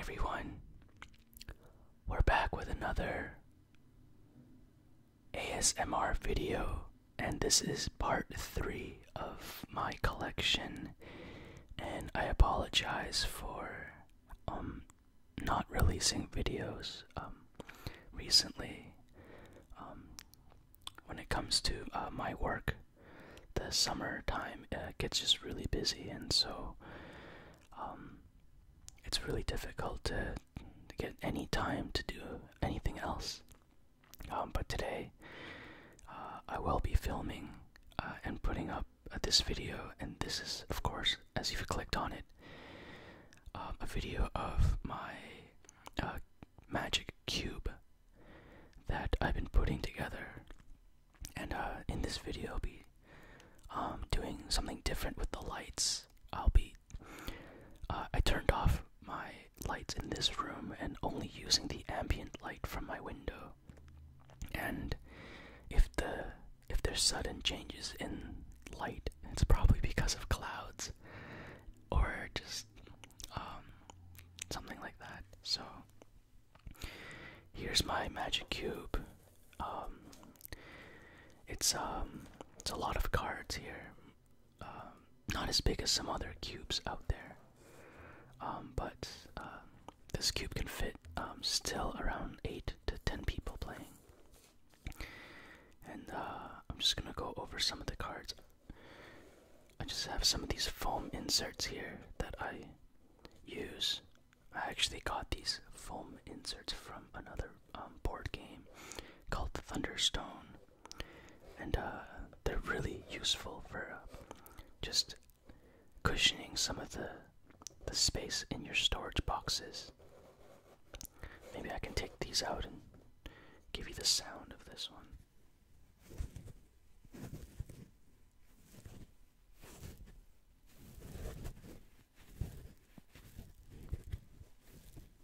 everyone. We're back with another ASMR video, and this is part three of my collection. And I apologize for um not releasing videos um recently. Um, when it comes to uh, my work, the summertime uh, gets just really busy, and so um it's really difficult to get any time to do anything else. Um, but today, uh, I will be filming uh, and putting up uh, this video, and this is, of course, as you've clicked on it, um, a video of my magic cube that I've been putting together. And in this video, I'll be um, doing something different with the lights. I'll be uh, I turned off my lights in this room and only using the ambient light from my window. And if the if there's sudden changes in light, it's probably because of clouds or just um, something like that. So here's my magic cube. Um, it's um, it's a lot of cards here. Um, not as big as some other cubes out there, um, but uh, this cube can fit um, still around eight to ten people playing. And uh, I'm just gonna go over some of the cards. I just have some of these foam inserts here that I use. I actually got these foam inserts from another board game called Thunderstone and uh, they're really useful for uh, just cushioning some of the the space in your storage boxes. Maybe I can take these out and give you the sound of this one.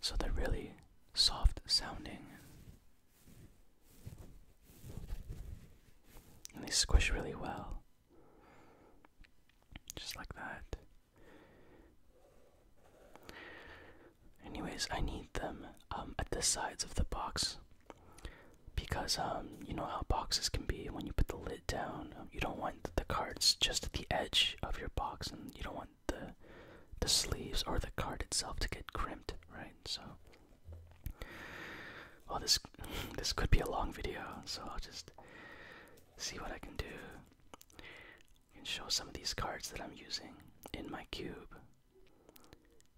So they're really soft sounding. And they squish really well. Just like that. Anyways, I need them um, at the sides of the box because um, you know how boxes can be when you put the lid down, you don't want the cards just at the edge of your box, and you don't want the the sleeves or the card itself to get crimped, right? So, well, this this could be a long video, so I'll just see what I can do. and show some of these cards that I'm using in my cube.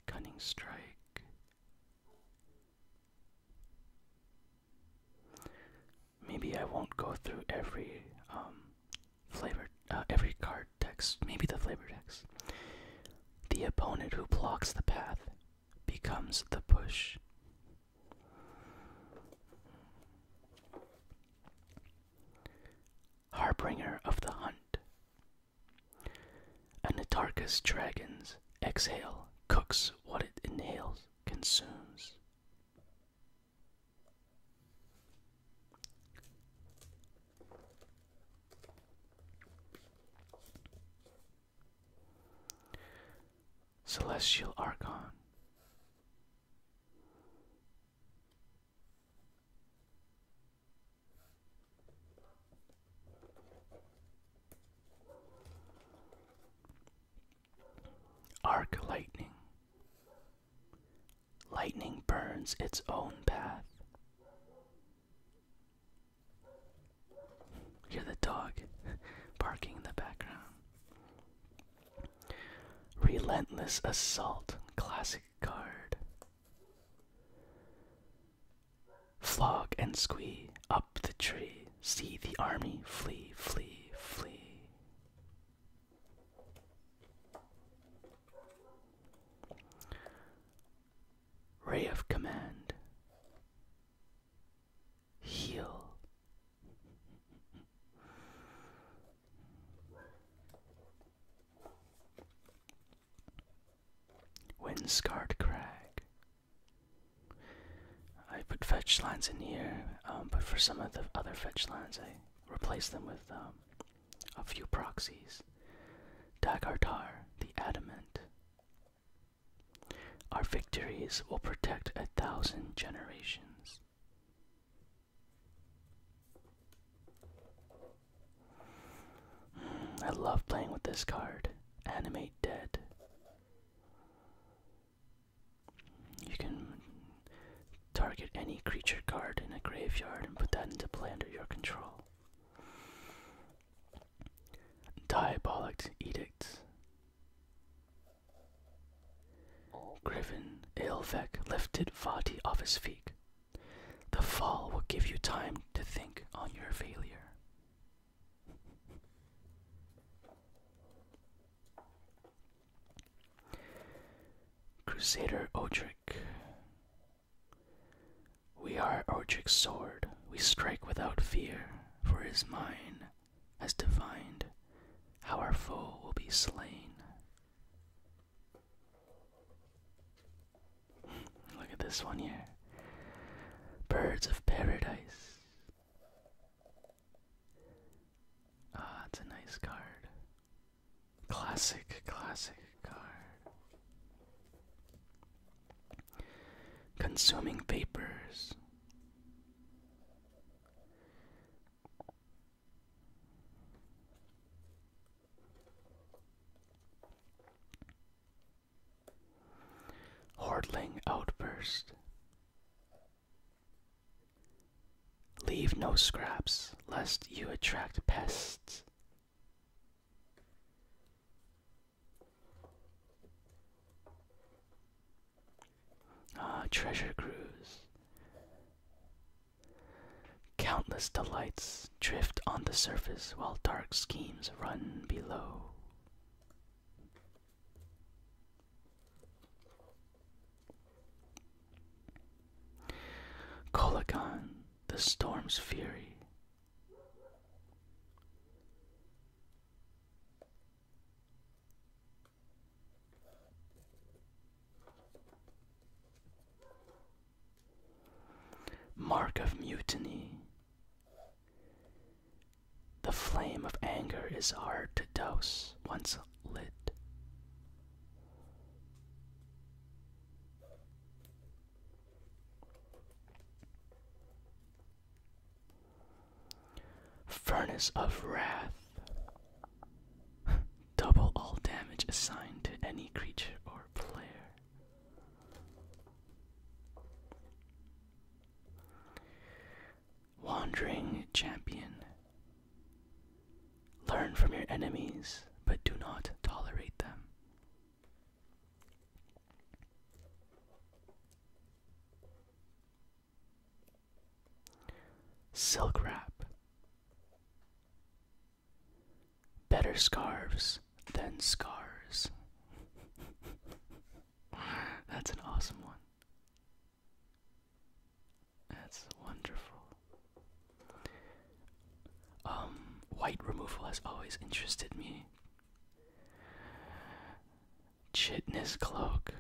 Cunning Strike. Maybe I won't go through every um, flavor, uh, every card text. Maybe the flavor text. The opponent who blocks the path becomes the push. Harbinger of the Hunt. Anatarka's dragons exhale, cooks what it inhales, consumes. Celestial Argon. Arc lightning. Lightning burns its own path. Hear the dog barking in the background. Relentless assault, classic card. Flog and squee up the tree. See the army flee, flee, flee. Ray of Command. Heal. Windscarred Crag. I put fetch lines in here, um, but for some of the other fetch lines, I replace them with um, a few proxies. Dagartar, the Adamant. Our victories will protect a thousand generations. I love playing with this card. Animate Dead. You can target any creature card in a graveyard and put that into play under your control. Diabolic Edict. Griffin, Aelvec lifted Vati off his feet. The fall will give you time to think on your failure. Crusader Odrick. We are Odrick's sword. We strike without fear, for his mind has divined how our foe will be slain. Look at this one here. Birds of paradise. Ah, it's a nice card. Classic, classic card. Consuming vapors. Hordling outburst. Leave no scraps, lest you attract pests. Ah, treasure cruise. Countless delights drift on the surface while dark schemes run below. Colagon, the storm's fury. Mark of Mutiny. The flame of anger is hard to douse once lit. Furnace of Wrath. Double all damage assigned to any creature or player. Wandering Champion. Learn from your enemies, but do not tolerate them. Silk wrap. Better scarves than scars. That's an awesome one. That's wonderful. Um, white removal has always interested me. Chitness cloak.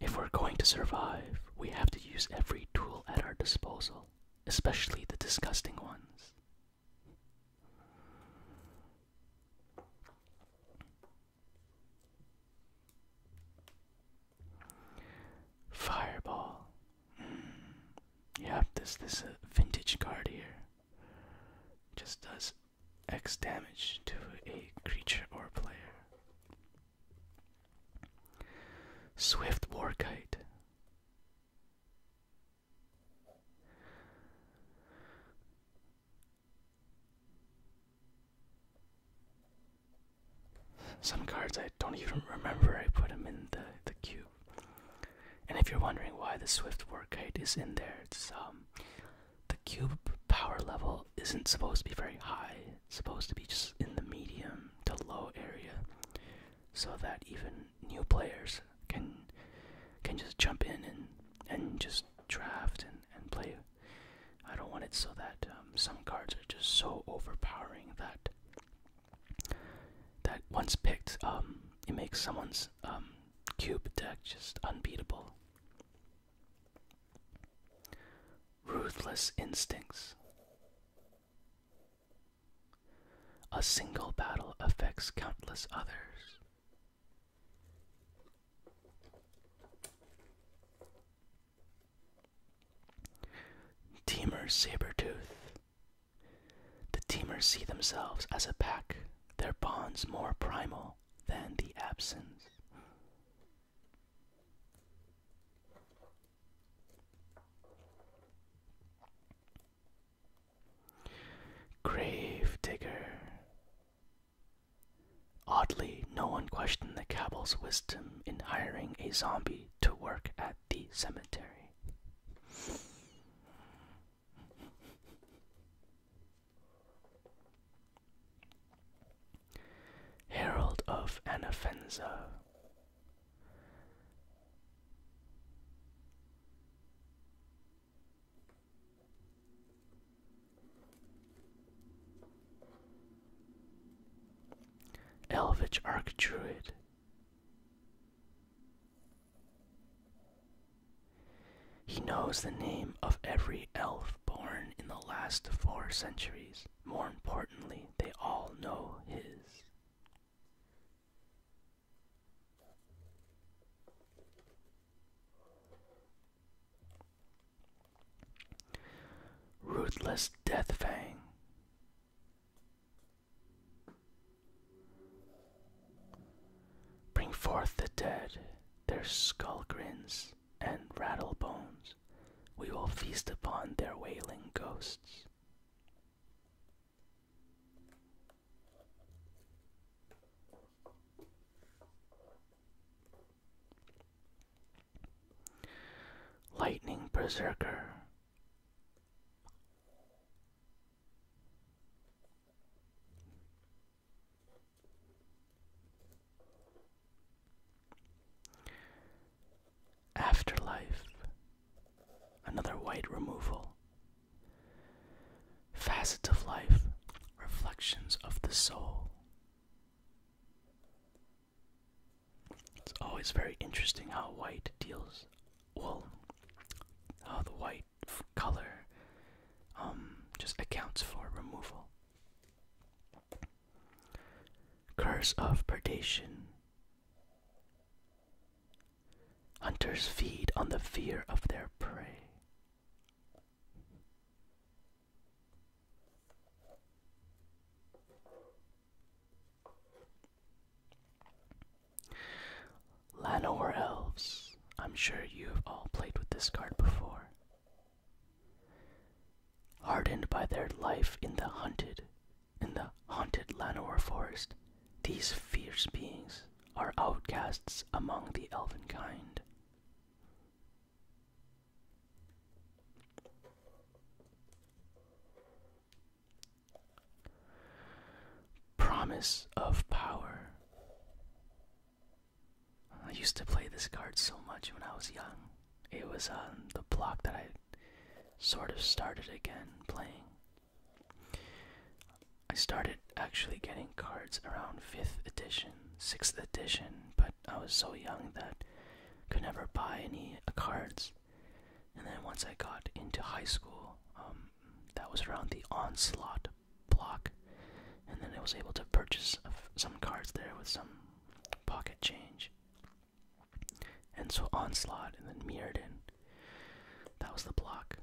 If we're going to survive, we have to use every tool at our disposal, especially the disgusting ones. Fireball. Mm. Yep, this is a uh, vintage card here. Just does X damage to a creature or player. Swift Warkite. Some cards I don't even remember I put them in the, the cube. And if you're wondering why the Swift Workite is in there, it's um the cube power level isn't supposed to be very high. It's supposed to be just in the medium to low area. So that even new players can can just jump in and and just draft and, and play. I don't want it so that um, some cards are just so overpowering that that once picked, um, it makes someone's um, cube deck just unbeatable. Ruthless Instincts. A single battle affects countless others. Teamer Sabretooth. The Teamers see themselves as a pack, their bonds more primal than the absence. Grave Digger. Oddly, no one questioned the cabal's wisdom in hiring a zombie to work at the cemetery. Herald of Anafenza. Elvish Archdruid. He knows the name of every elf born in the last four centuries. More importantly, they all know his. Ruthless fang. Bring forth the dead, their skull grins and rattle bones. We will feast upon their wailing ghosts. Lightning Berserker. Afterlife. Another white removal. Facets of Life Reflections of the Soul. It's always very interesting how white deals, well, how the white color um, just accounts for removal. Curse of Predation. Hunters feed on the fear of their prey. Lanor Elves. I'm sure you have all played with this card before. Hardened by their life in the hunted, in the haunted Lanor forest, these fierce beings are outcasts among the elven kind. Promise of Power. I used to play this card so much when I was young. It was um, the block that I sort of started again playing. I started actually getting cards around 5th edition, 6th edition, but I was so young that I could never buy any cards. And then once I got into high school, um, that was around the Onslaught block, and then I was able to purchase some cards there with some pocket change. And so Onslaught and then Mirrodin, that was the block.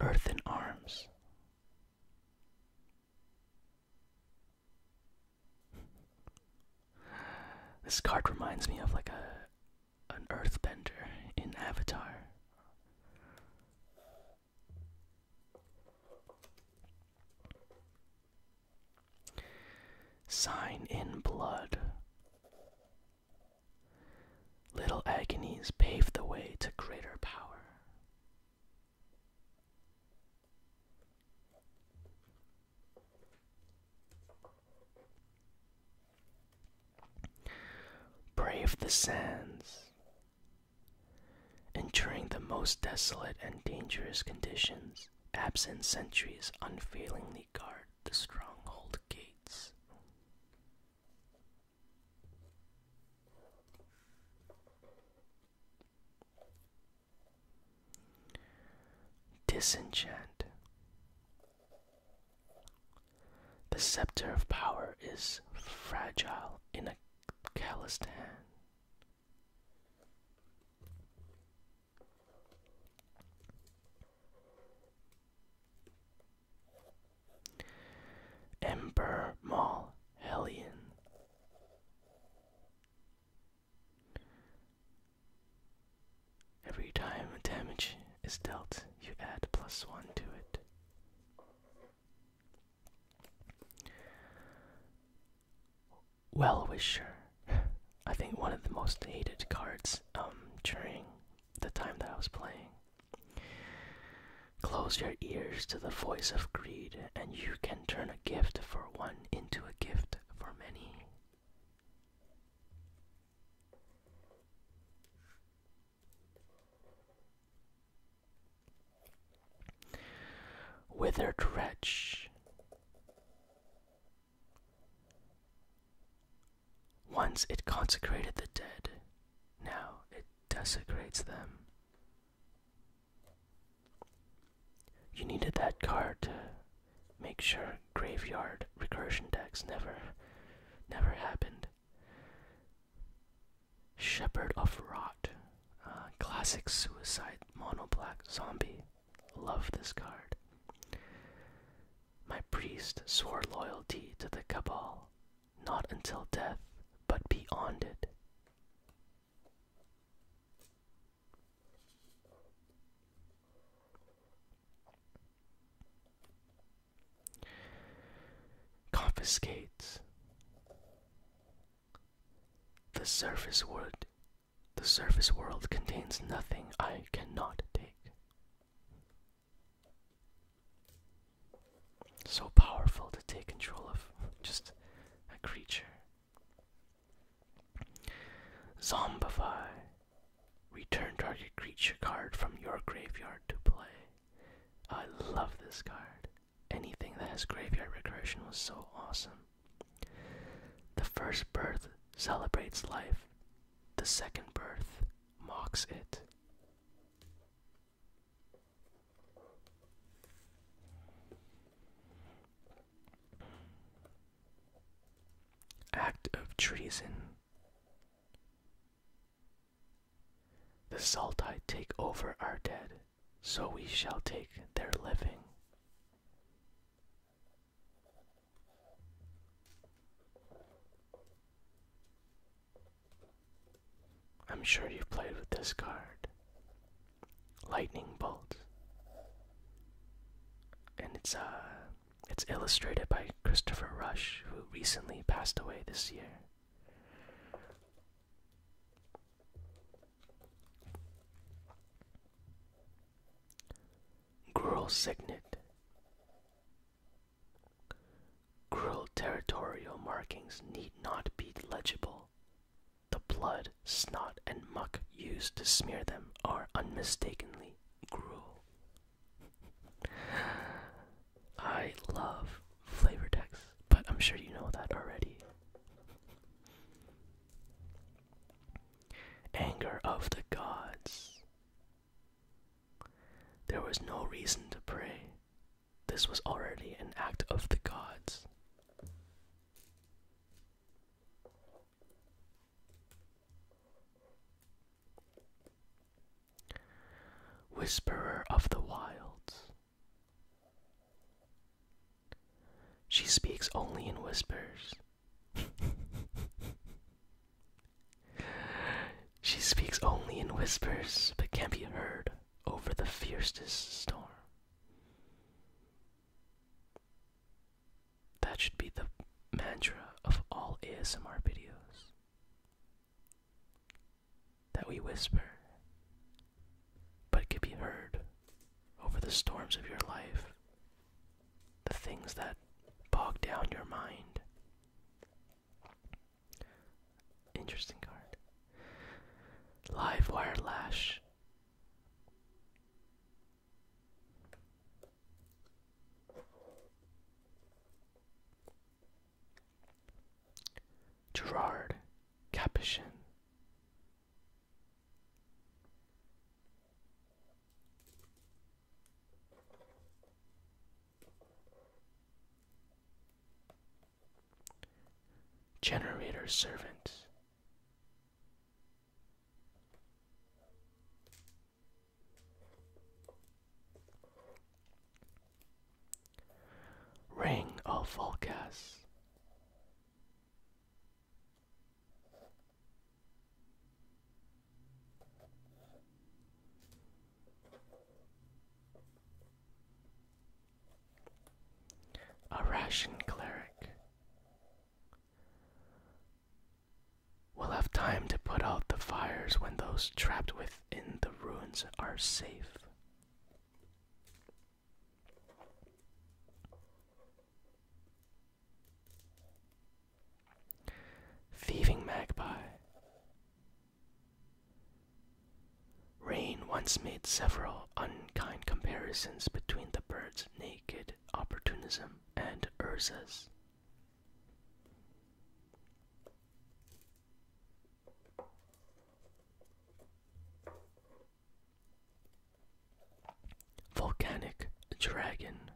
Earth in Arms, this card reminds me of like a an earthbender in Avatar. Sign in blood. Little agonies pave the way to greater power. Brave the sands. Enduring the most desolate and dangerous conditions, absent sentries unfailingly guard the stronghold gates. Disenchant. The scepter of power is fragile in a calloused hand. Ember Mall Every time damage is dealt, you add plus one to it. Well Wisher. I think one of the most hated cards um, during the time that I was playing. Close your ears to the voice of greed, and you can turn a gift for one into a gift for many. Withered wretch. Once it consecrated the dead, now it desecrates them. You needed that card to make sure graveyard recursion decks never, never happened. Shepherd of Rot, classic suicide monoblack zombie. Love this card. My priest swore loyalty to the Cabal, not until death, but beyond it. Confiscates the surface world. The surface world contains nothing I cannot take. So powerful to take control of just a creature. Zombify. Return target creature card from your graveyard to play. I love this card. Anything that has graveyard recursion was so awesome. The first birth celebrates life, the second birth mocks it. Act of treason. The Saltai take over our dead, so we shall take their living. I'm sure you've played with this card. Lightning Bolt. And it's uh it's illustrated by Christopher Rush, who recently passed away this year. Girl Signet. Cruel territorial markings need not be legible. The blood, snot, and muck used to smear them are unmistakably gruel. I love flavor text, but I'm sure you know that already. Anger of the gods. There was no reason to pray, this was already an act of the gods. Whisperer of the wilds. She speaks only in whispers. she speaks only in whispers, but can be heard over the fiercest storm. That should be the mantra of all ASMR videos. That we whisper, but it can be heard over the storms of your life, the things that bog down your mind, Interesting card. Live Wire Lash. Gerard Capuchin. Generator servant. Ring of Volcas. A ration cleric. We'll have time to put out the fires when those trapped within the ruins are safe. Thieving magpie. Rain once made several unkind comparisons between the bird's naked opportunism and Urza's. Volcanic Dragon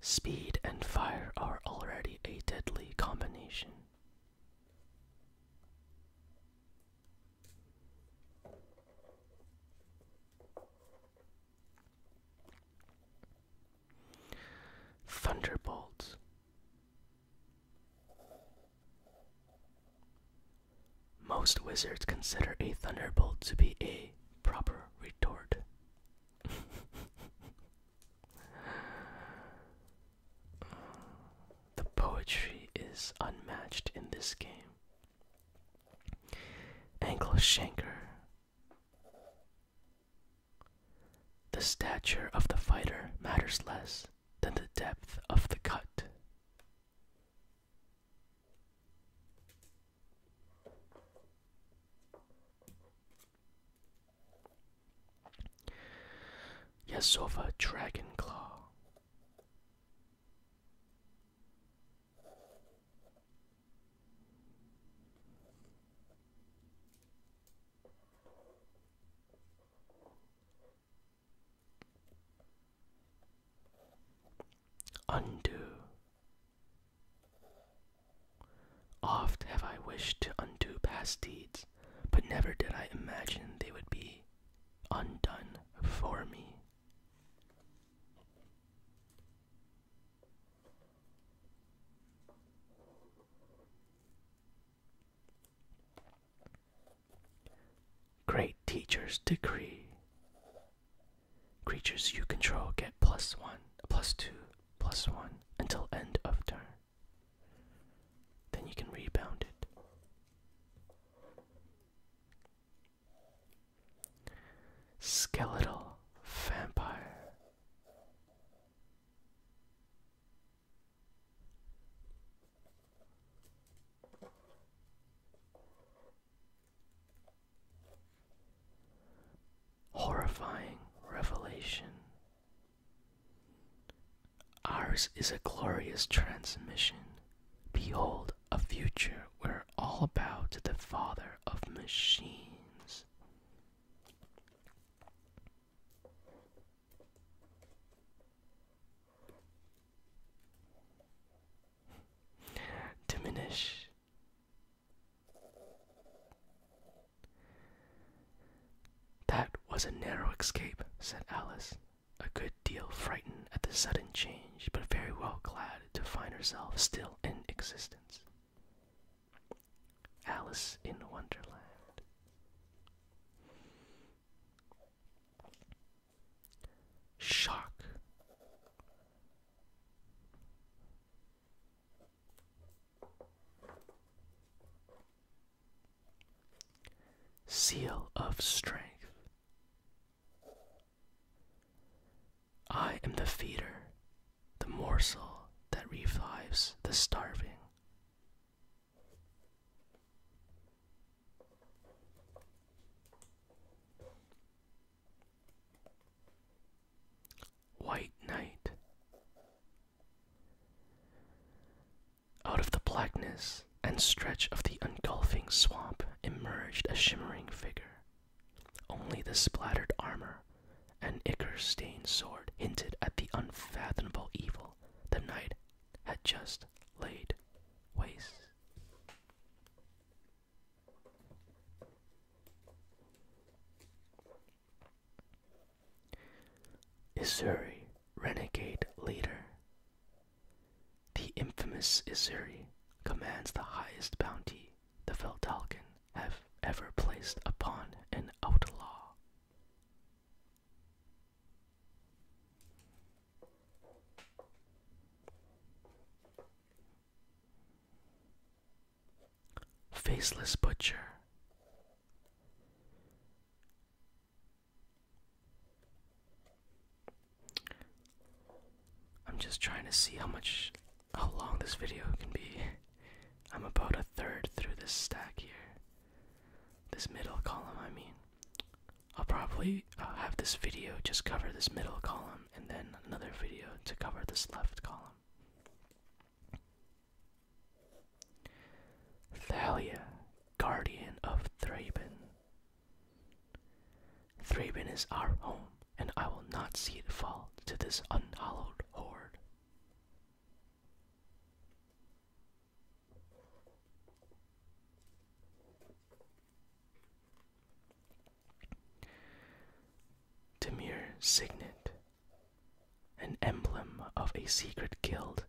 Speed and fire are already a deadly combination. Thunderbolts. Most wizards consider a thunderbolt to be a proper retort. The poetry is unmatched in this game. Ankle shanker. The stature of the fighter matters less than the depth of the cut. Yasova Dragon Claw. Undo Oft have I wished to undo past deeds, but never did I imagine they would be undone for me. Great teacher's decree. Creatures you control get plus one, plus two plus 1 until end of turn. Then you can rebound it. Skeletal Vampire horrifying revelation. Ours is a glorious transmission. Behold, a future where all bow to the father of machines. Diminish that was a narrow escape, said Alice, a good deal frightened at the sudden change, but very well glad to find herself still in existence. Alice in Wonderland. Shock. Seal of Strength. I am the feeder, the morsel that revives the starving. White Night. Out of the blackness and stretch of the engulfing swamp emerged a shimmering figure. Only the splattered armor and ichor-stained sword hinted at the unfathomable evil the knight had just laid waste. Isuri, renegade leader. The infamous Isuri commands the highest bounty the Feldalkin have ever placed upon an outlaw. Faceless Butcher. I'm just trying to see how much, how long this video can be. I'm about a third through this stack here. This middle column, I mean. I'll probably uh, have this video just cover this middle column and then another video to cover this left column. Thalia, guardian of Thraben. Thraben is our home, and I will not see it fall to this unhallowed horde. Demir Signet, an emblem of a secret guild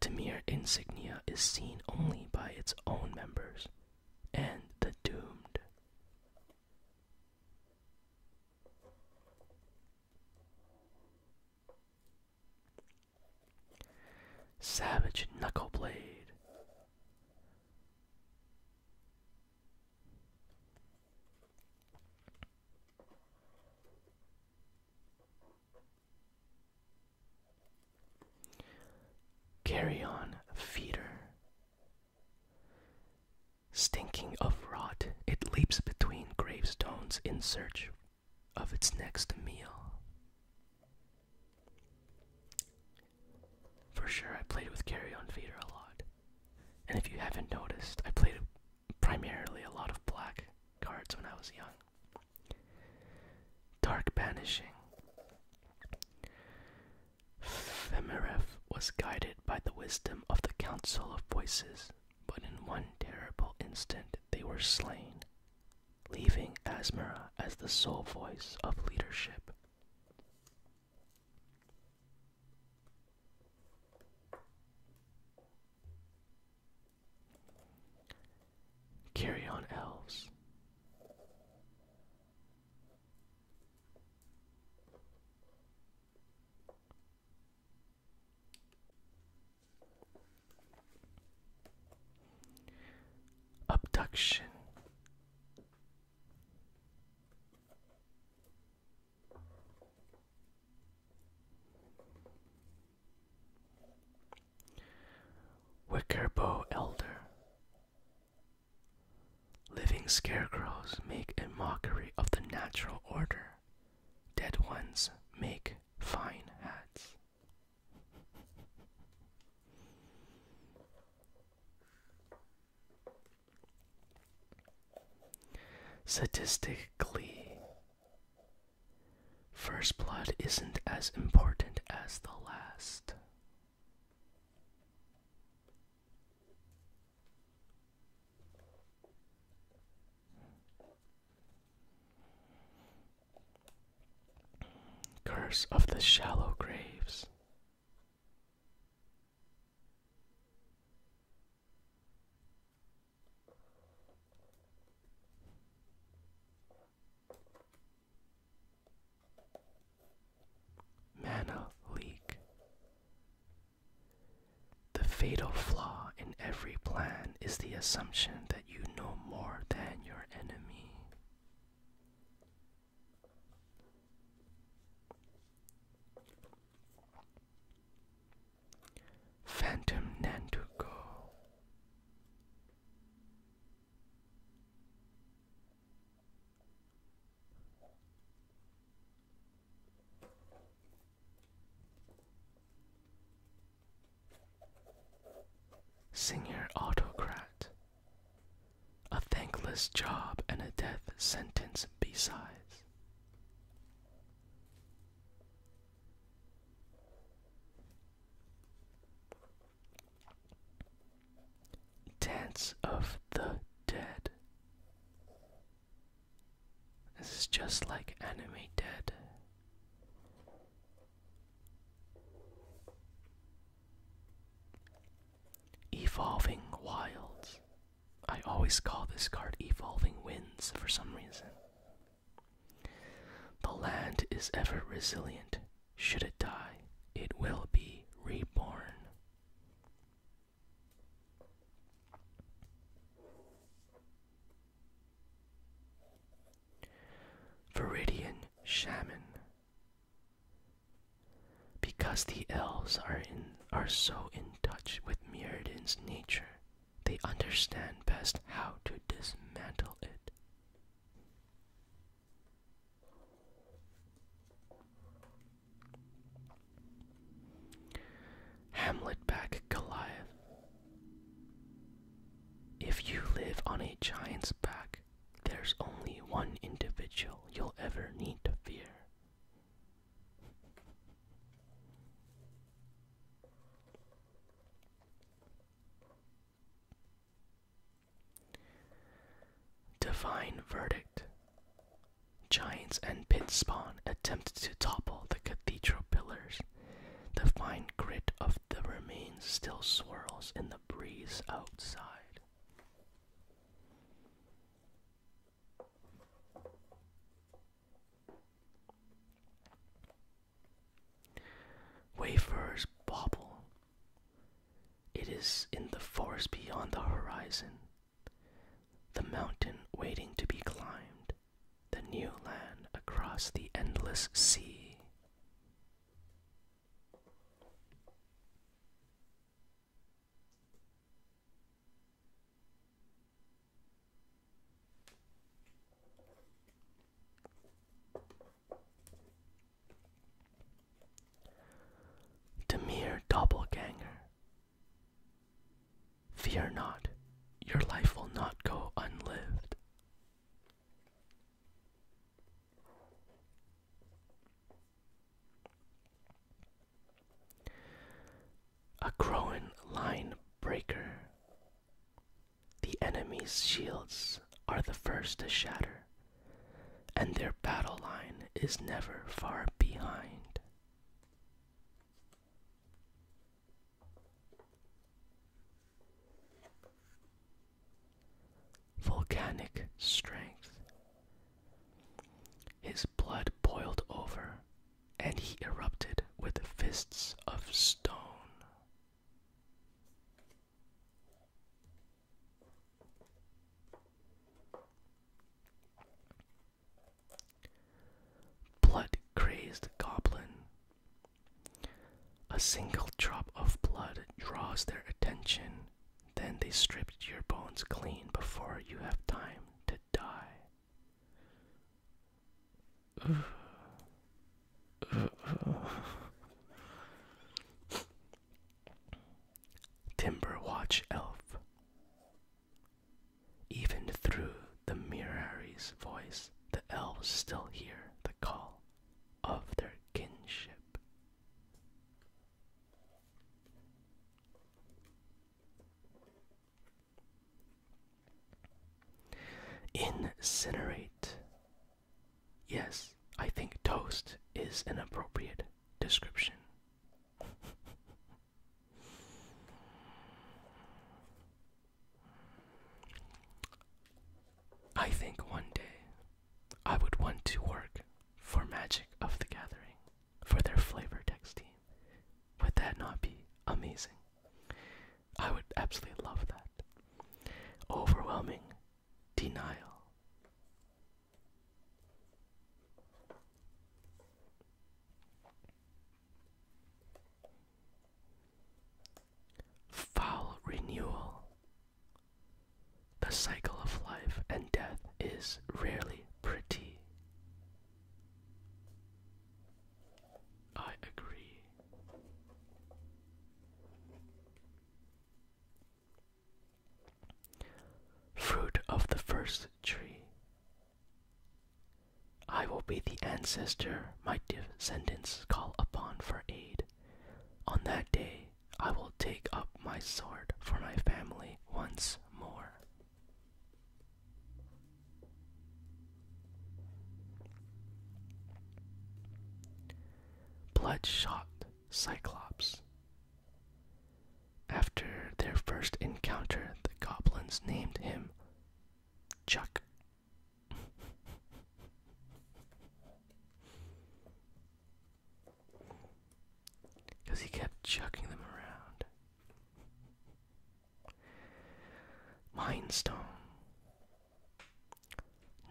the mere insignia is seen only by its own members and the doomed. Savage Knuckleblade. Carry on, feeder. Stinking of rot, it leaps between gravestones in search of its next meal. For sure, I played with carry on feeder a lot. And if you haven't noticed, I played primarily a lot of black cards when I was young. Dark Banishing. Femirev was guided by the wisdom of the Council of Voices, but in one terrible instant they were slain, leaving Asmara as the sole voice of leadership. Carry on, elves. Abduction. Wickerbow Elder Living scarecrows make a mockery of the natural order. Dead ones make fine hats. Statistically, first blood isn't as important as the last. Curse of the Shallow Graves. Mana leak. The fatal flaw in every plan is the assumption that you know more than your enemy. Phantom Nanduko. Senior Autocrat. A thankless job and a death sentence besides. Dance of the Dead. This is just like Anime Dead. Evolving Wilds. I always call this card Evolving Winds for some reason. The land is ever resilient. Should it die, it will be reborn. Viridian Shaman. Because the elves are so in touch with Mirrodin's nature, they understand best how to dismantle it. Hamlet back Goliath. If you live on a giant's back, there's only one individual you'll ever need to fear Divine Verdict Giants and pit spawn attempted to topple the cathedral pillars. The fine grit of the remains still swirls in the breeze outside. Wafers bobble. It is in the forest beyond the horizon, the mountain waiting to be climbed, the new land across the endless sea. Demir doubleganger. Fear not, your life will not go unlived. A Crowan line breaker. The enemy's shields are the first to shatter, and their battle line is never far behind. Volcanic strength. His blood boiled over, and he erupted with fists of stone. Blood crazed goblin. A single drop of blood draws their attention, then they strip your bones clean before you have time to die. Timber Watch Elf. Even through the Mirari's voice, the elves still hear the call of their kinship. Incinerate. Yes, I think toast is an appropriate description. I think one day I would want to work for Magic of the Gathering for their flavor text team. Would that not be amazing? I would absolutely love that. Overwhelming denial. Foul renewal. The cycle of life and death is rarely pretty. I agree. Fruit of the first tree. I will be the ancestor my descendants call upon for aid. On that day, I will take up my sword for my family once more. Bloodshot Cyclops. After their first encounter, the goblins named him Chuck. Because he kept chucking them around. Mindstone.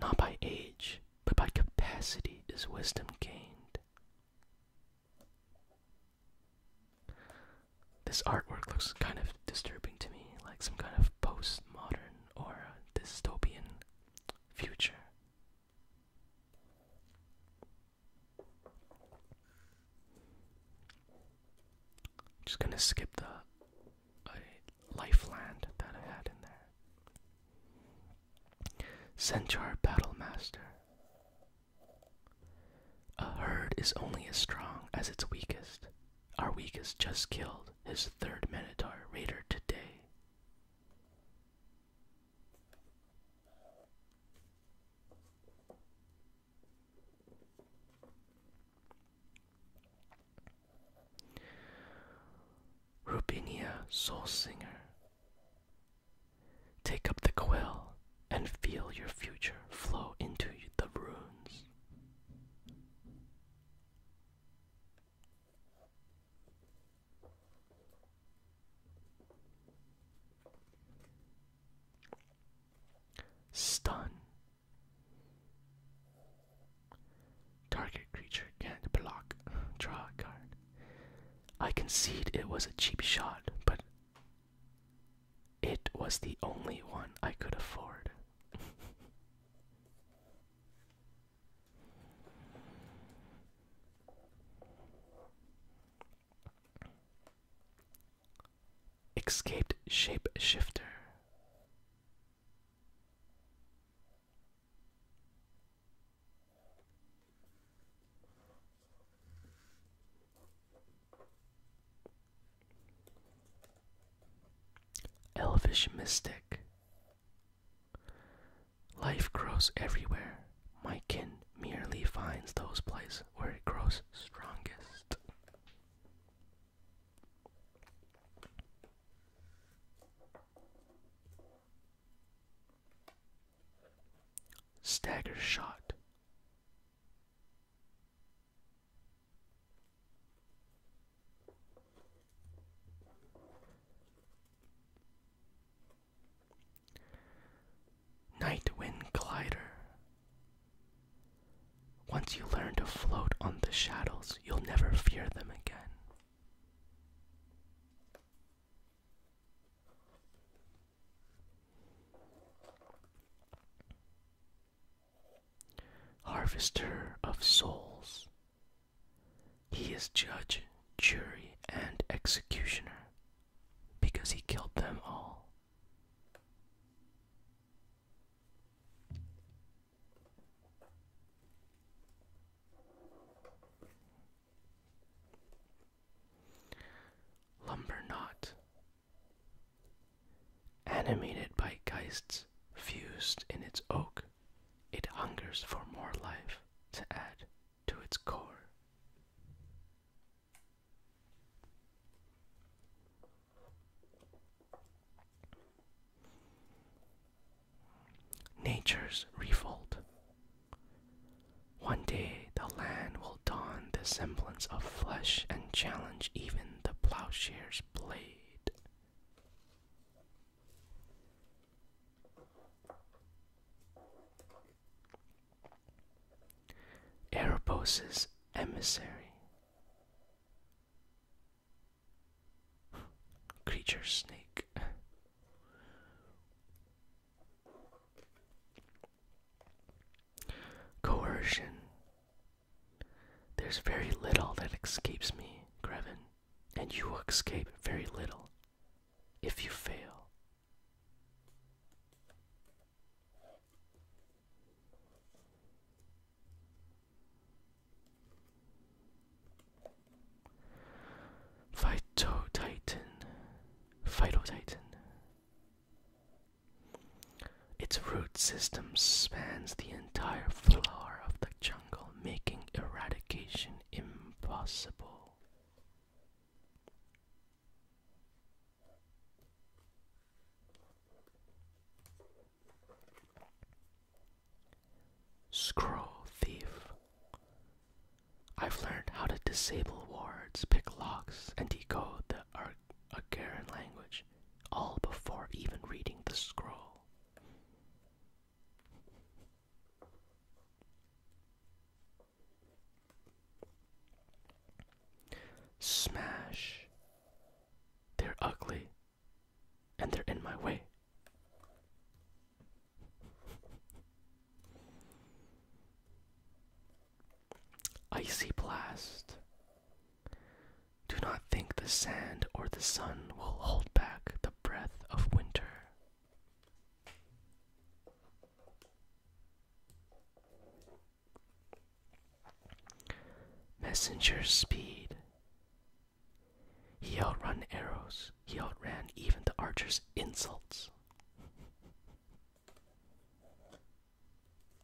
Not by age, but by capacity is wisdom gained. This artwork looks kind of disturbing to me, like some kind of postmodern or dystopian future. Just gonna skip the uh, lifeland that I had in there. Centaur Battle Master. A herd is only as strong as its weakest. Our weakest just killed his third Minotaur raider today. Rubinia Soul Singer. Take up the quill and feel your future flow into the runes. Stun. Target creature can't block. Draw a card. I concede it was a cheap shot, but it was the only one I could afford. Escaped shapeshifter. Elvish mystic. Life grows everywhere, my kin merely finds those places where it grows strongest. Stagger shot. Night wind Glider. Once you learn to float on the shadows, you'll never fear them again. Harvester of souls. He is judge, jury, and executioner because he killed them all. Lumbernot. Animated by geists fused in its oak, it hungers for more life to add to its core. Nature's revolt. One day the land will don the semblance of flesh and challenge even the plowshare's blade. Erebos' emissary. Creature snake. Coercion. There's very little that escapes me, Grevin, and you escape very little if you fail Phytotitan. Phytotitan. Its root system spans the entire floor of the jungle, making eradication impossible. Scroll Thief. I've learned how to disable wards, pick locks, and decode the Ar language, all before even reading the scroll. Smash. They're ugly. And they're in my way. Icy Blast. Do not think the sand or the sun will hold back the breath of winter. Messenger speed. He outrun arrows. He outran even the archer's insults.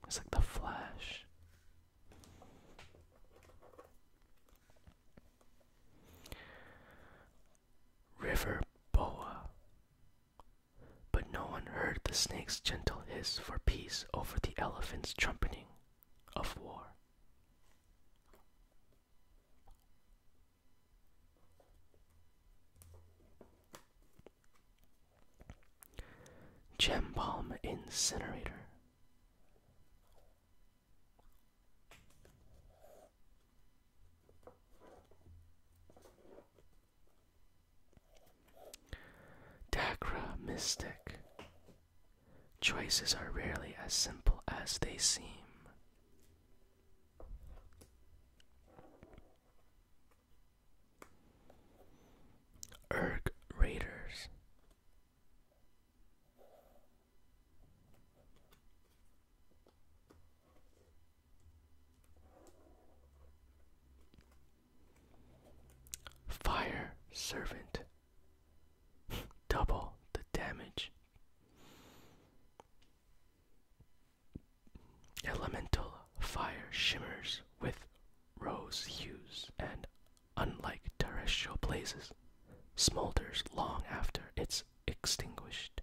It's like the flash. River boa. But no one heard the snake's gentle hiss for peace over the elephant's trumpeting of war. Gem Bomb Incinerator. Dakra Mystic. Choices are rarely as simple as they seem. Erg Raiders. Fire servant. Double the damage. Elemental fire shimmers with rose hues and, unlike terrestrial blazes, smolders long after it's extinguished.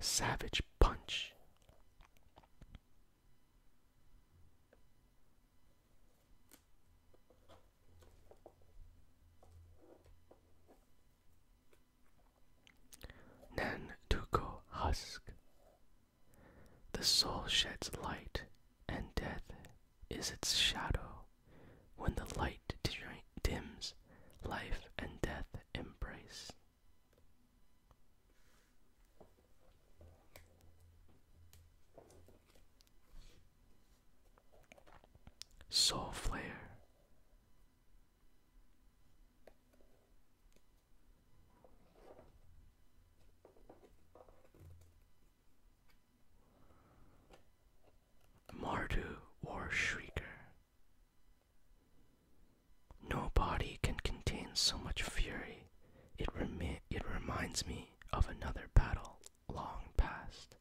Savage Punch. Nantuko Husk. The soul sheds light, and death is its shadow. When the light dims, life and death embrace. Soul Flare. Mardu or Shrieker. No body can contain so much fury. It, remi it reminds me of another battle long past.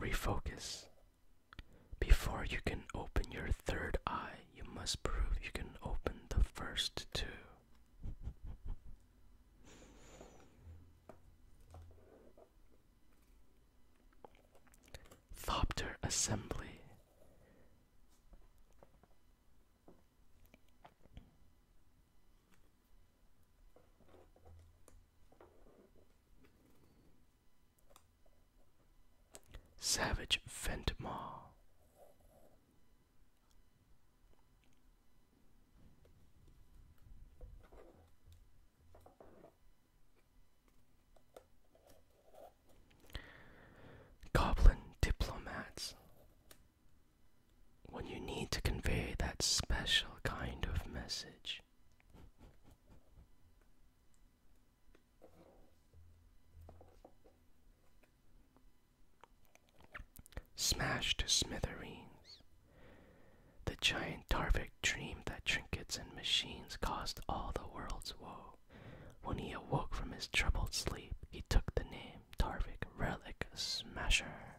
Refocus. Before you can open your third eye, you must prove you can open the first two. Thopter assembly. Savage Ventmar. Goblin diplomats. When you need to convey that special kind of message, much. Smashed to smithereens, the giant Tarvik dreamed that trinkets and machines caused all the world's woe. When he awoke from his troubled sleep, he took the name Tarvik Relic Smasher.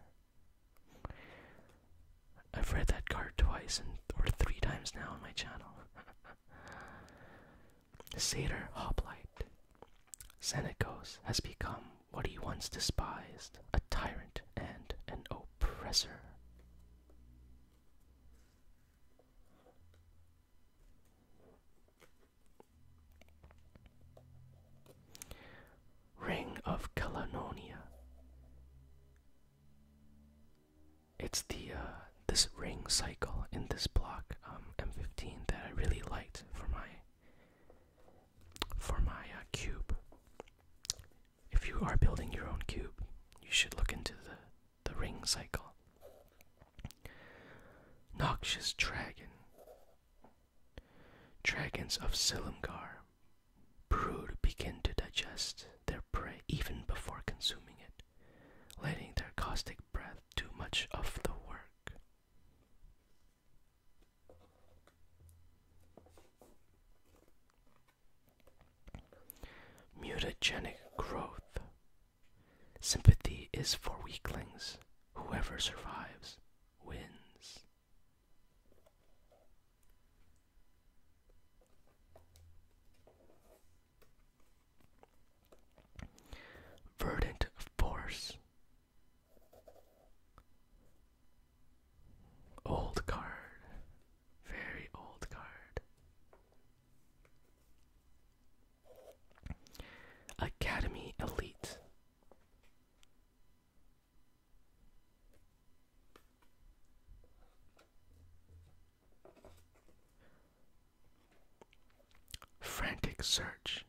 I've read that card twice and or three times now on my channel. Sator Hoplite. Xenakos has become what he once despised, a tyrant and an oppressor. Ring of Kalanonia. It's the uh, this ring cycle in this block M15 um, that I really liked for my for my uh, cube. If you are building your own cube, you should look into the the ring cycle. Noxious dragon. Dragons of Silumgar Brood begin to digest their prey even before consuming it, letting their caustic breath do much of the work. Mutagenic growth. Sympathy is for weaklings. Whoever survives wins. Verdant force. Old card. Very old card. Academy Elite. Frantic search.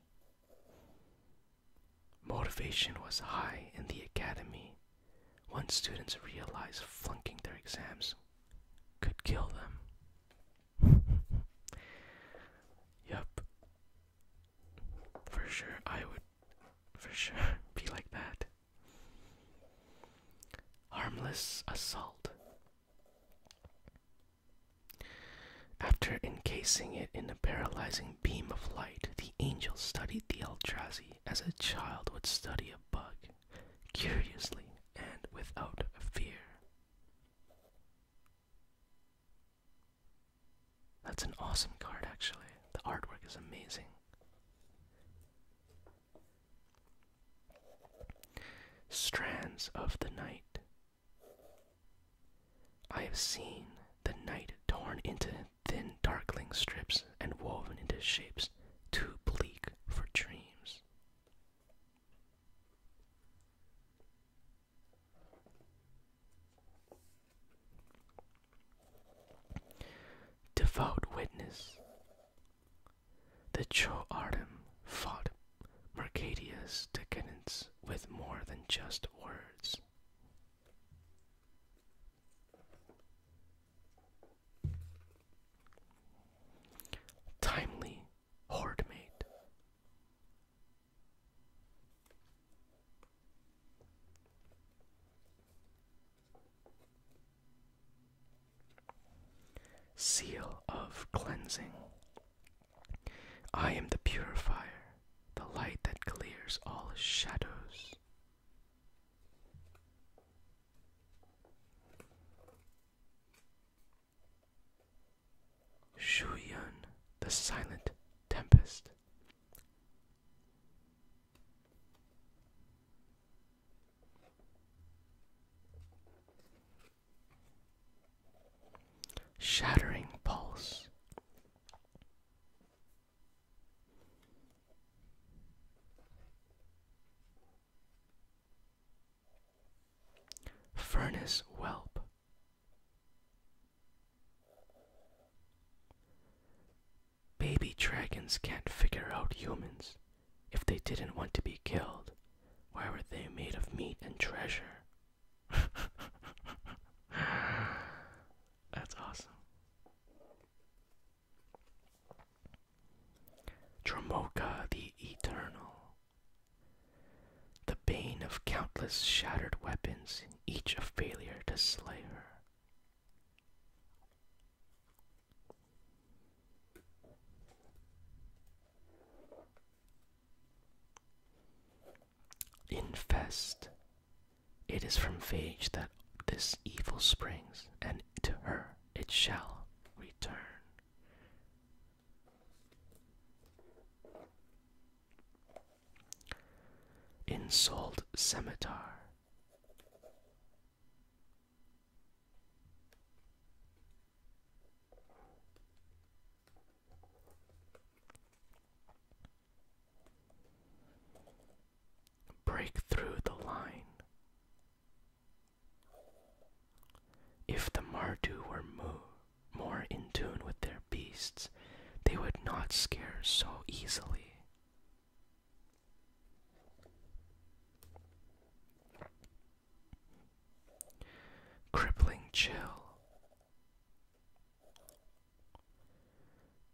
Motivation was high in the academy. When students realized flunking their exams could kill them. yep. For sure, I would for sure be like that. Harmless assault. After encasing it in a paralyzing beam of light, the angel studied the Eldrazi as a child would study a bug, curiously and without fear. That's an awesome card, actually. The artwork is amazing. Strands of the Night. I have seen the night torn into thin, darkling strips and woven into shapes too bleak for dreams. Devout witness. The Artem fought Mercadius' decadence with more than just words. Timely horde mate. Seal of cleansing. I am the purifier, the light that clears all shadows. Shuyun, the silent tempest. Shattering Pulse. Furnace Whelp. Baby dragons can't figure out humans. If they didn't want to be killed, why were they made of meat and treasure? That's awesome. Dromoka the Eternal. The bane of countless shattered weapons, each a failure to slay her. Infest. It is from Phage that this evil springs, and to her it shall return. Insult Scimitar. Break through the line. If the Mardu were mo more in tune with their beasts, they would not scare so easily. Crippling chill.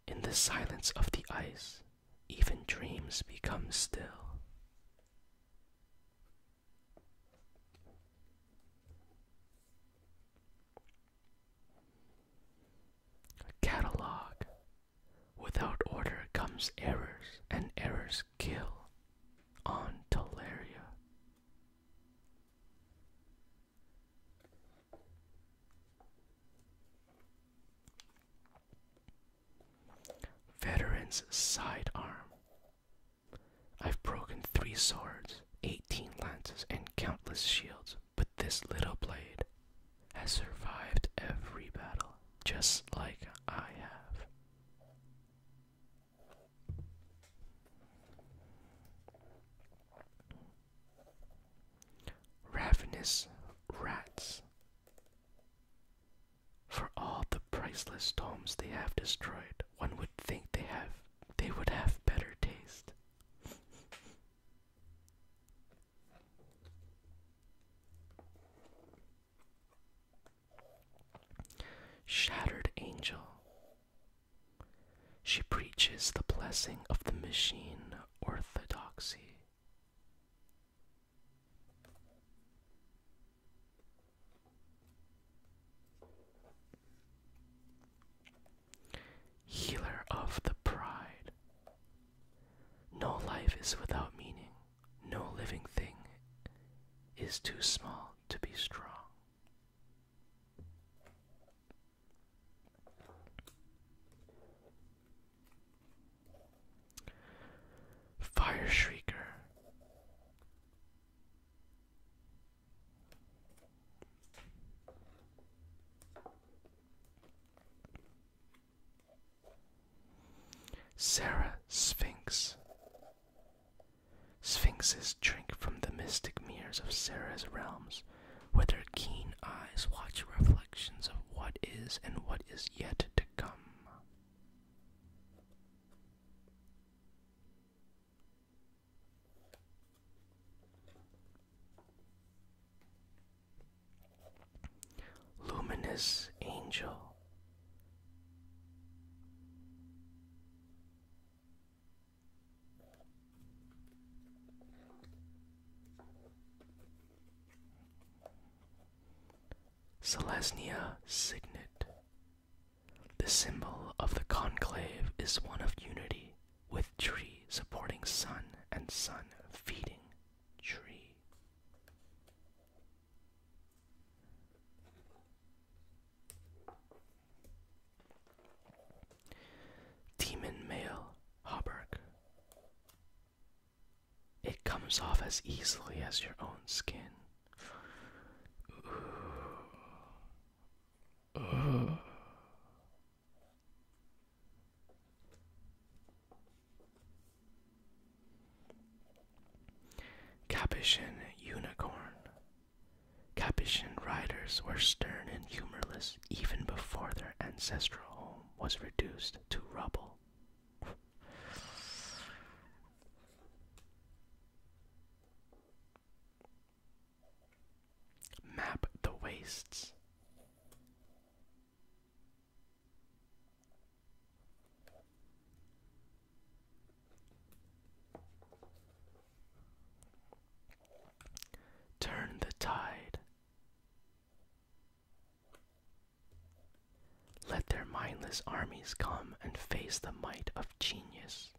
In the silence of the ice, even dreams become still. A catalog. Without order comes errors, and errors kill. On Teleria. Veteran's sidearm. I've broken three swords, eighteen lances, and countless shields. But this little blade has survived every battle, just like I have. Ravenous rats. For all the priceless tomes they have destroyed, one would think they have they would have better taste. Shattered Angel. She preaches the blessing of the machine orthodoxy healer of the pride. No life is without meaning, no living thing is too small to be strong. Fire Shrieker. Sarah Sphinx. Sphinxes drink from the mystic mirrors of Sarah's realms, where their keen eyes watch reflections of what is and what is yet to come. Luminous Angel. Selesnya Signet. The symbol of the conclave is one of unity, with tree supporting sun and sun feeding tree. Demon male hauberk. It comes off as easily as your own skin. Capuchin Unicorn. Capuchin riders were stern and humorless even before their ancestral home was reduced to rubble. Map the wastes. Turn the tide. Let their mindless armies come and face the might of genius.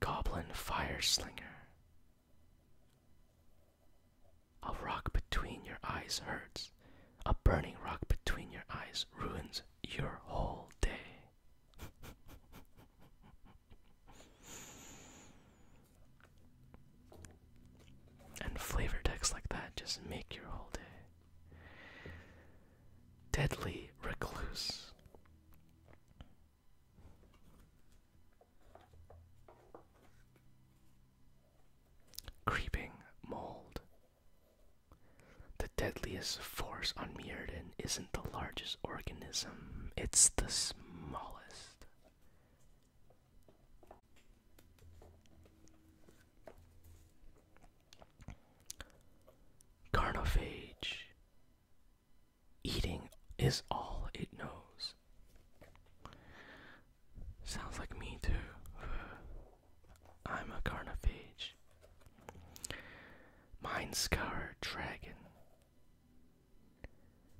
Goblin Fire Slinger. A rock between your eyes hurts. A burning rock between your eyes ruins your whole day. and flavor decks like that just make your whole day deadly recluse. Creeping mold. The deadliest force on Mirrodin isn't the largest organism, it's the smallest. Carnophage. Eating is all it knows. Sounds like me too. I'm a carnophage. Mind scarred dragon.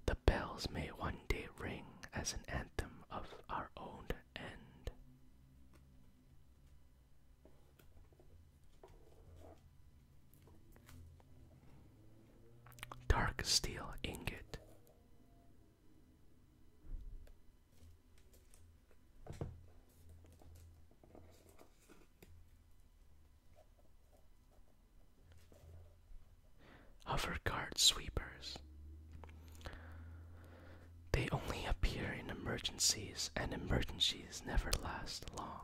The bells may one day ring as an anthem of our own end. Dark steel ingot. guard sweepers. They only appear in emergencies, and emergencies never last long.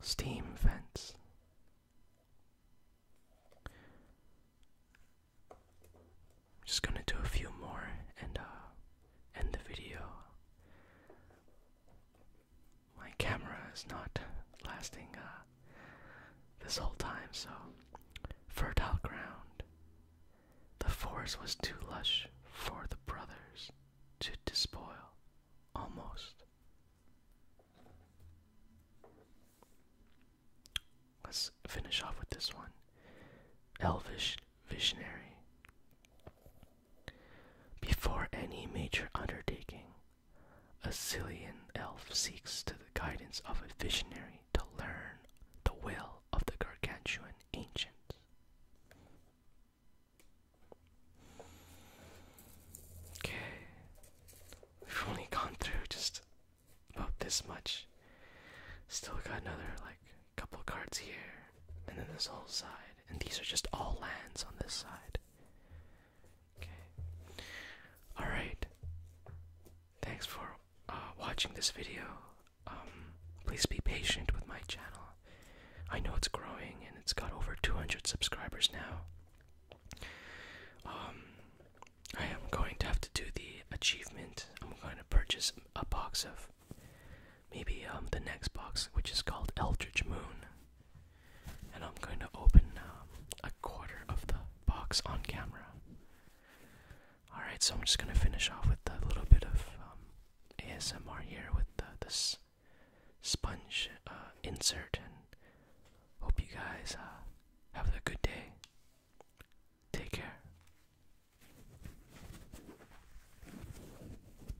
Steam vents. just gonna do a few more and uh, end the video my camera is not lasting uh, this whole time, so fertile ground. The forest was too lush for the brothers to despoil almost. Let's finish off with this one Elvish Visionary. Before any major undertaking, a Zillion elf seeks to the guidance of a visionary to learn the will of the gargantuan ancient. Okay, we've only gone through just about this much. Still got another like couple cards here, and then this whole side. And these are just all lands on this side. Okay. Alright. Thanks for uh, watching this video. Um, please be patient with my channel. I know it's growing and it's got over 200 subscribers now. Um, I am going to have to do the achievement. I'm going to purchase a box of maybe um, the next box, which is called Eldritch Moon. And I'm going to open um, a quarter of the box on camera. Alright, so I'm just going to finish off with a little bit of um, ASMR here with this sponge uh, insert. And hope you guys uh, have a good day. Take care.